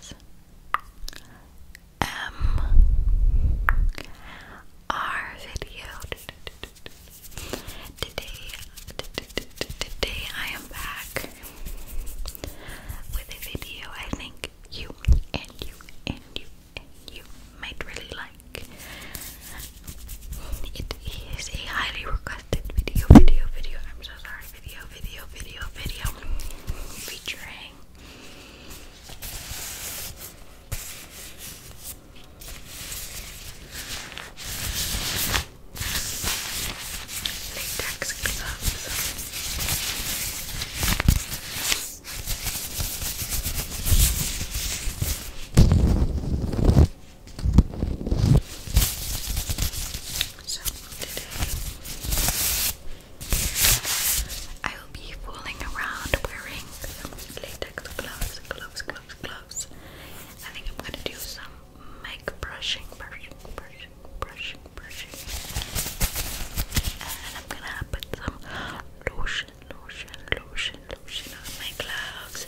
S M R video. Today, today I am back with a video I think you and you and you and you might really like. It is a highly requested video, video, video. I'm so sorry video, video, video, video featuring latex gloves. So today I will be fooling around wearing some latex gloves, gloves, gloves, gloves. I think I'm gonna do some mic brushing, brushing, brushing, brushing, brushing. And I'm gonna put some lotion, lotion, lotion, lotion on my gloves.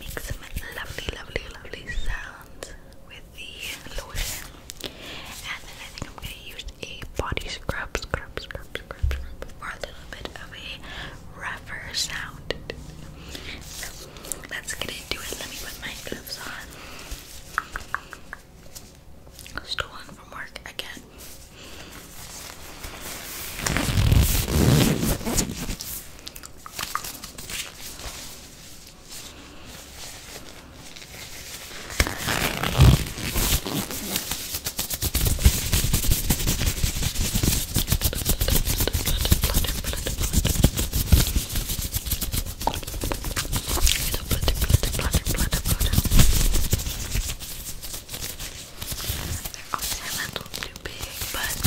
Make some lovely, lovely, lovely sounds with the lotion. And I think I'm gonna use a body scrub, scrub, scrub, scrub, scrub for a little bit of a rougher sound. let's get into it. Let me put my gloves on. Stolen from work again. Obviously, I'm a little too big, but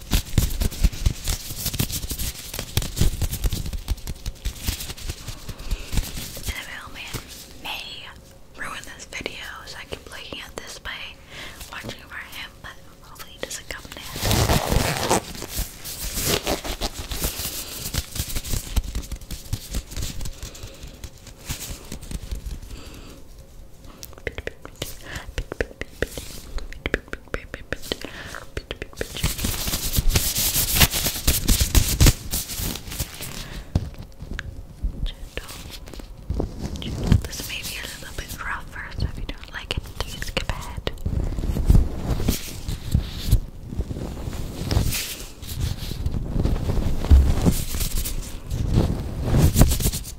And mailman oh may ruin this video, so I keep looking at this by watching over him, but hopefully he doesn't come down. Gentle. This may be a little bit rougher, so if you don't like it, please skip ahead.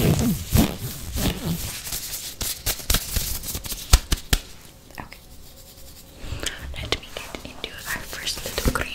Okay. Let me get into our first little cream.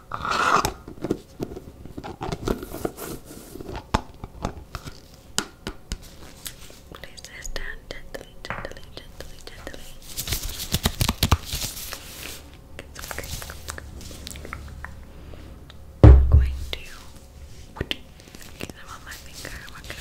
Place this down gently, gently, gently, gently. I'm going to get them on my finger. What can I rub it?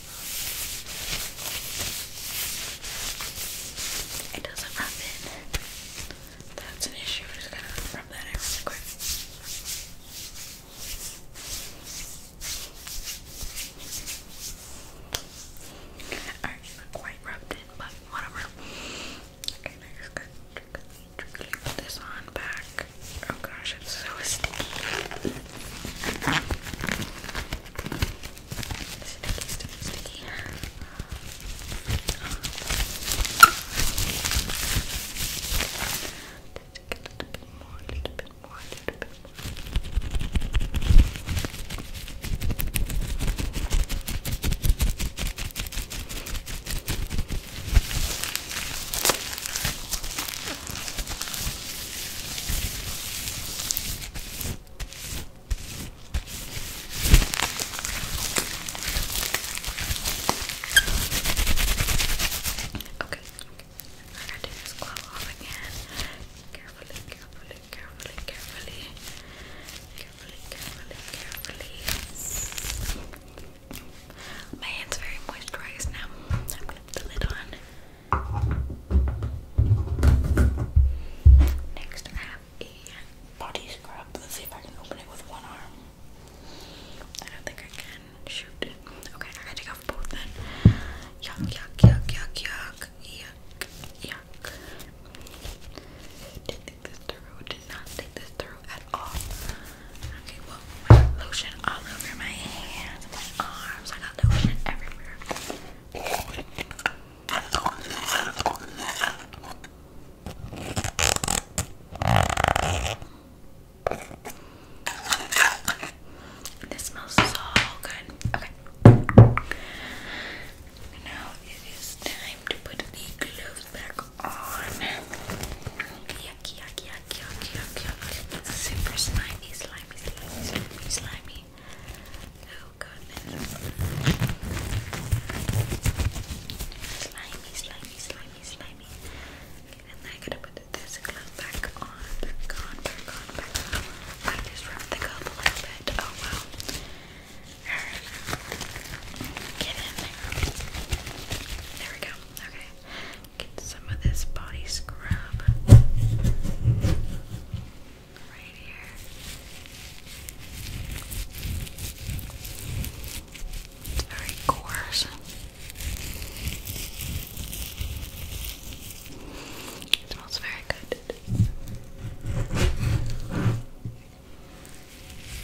It doesn't rub in. That's an issue. We're just gonna rub that in really quick. Alright, not quite rubbed in, but whatever. Okay, now put this on back. Oh gosh, it's so sticky. Sticky, sticky, sticky. Just a little bit more, a little bit more, a little bit Okay, I'm gonna take this glove off again. Carefully, carefully, carefully, carefully. Carefully, carefully, carefully. My hand's very moisturized now. I'm gonna put the lid on. Next, I have a body scrub. Let's see if I can open it with one arm. I don't think I can. Shoot. Okay, I take off both then. Yuck, yuck, yuck, yuck, yuck, yuck, yuck. Didn't think this through. Did not think this through Okay, well, lotion all over my hands, my arms. I got lotion everywhere. This smells so good. Okay. Now it is time to put the gloves back on. Yucky, yucky, yucky, yucky, yucky, yucky. It's super slimy, slimy, slimy, slimy, slimy. Oh goodness. Slimy, slimy, slimy, slimy. Okay, and then I gotta put this glove back on, back back on, back on. I just rubbed the glove a little bit. Oh wow. Get in There we go. Okay. Get some of this body scrub right here. It's very coarse. It smells very good.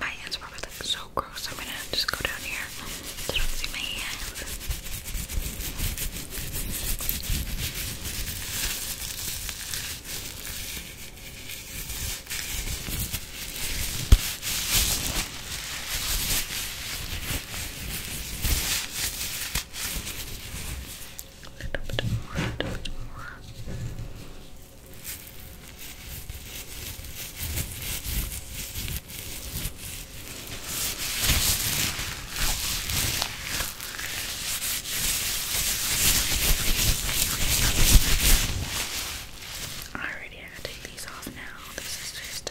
My hands probably look so gross. I'm gonna just go down here so I see my hands. A little bit more, a little bit more. Alrighty, I gotta take these off now. This is just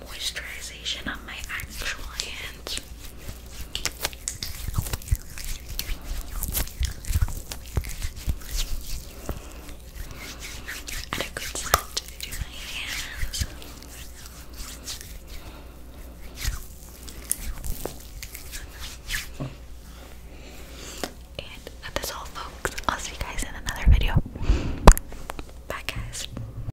moisturization on my actual hands. And a good my hands. And that's all folks. I'll see you guys in another video. Bye guys.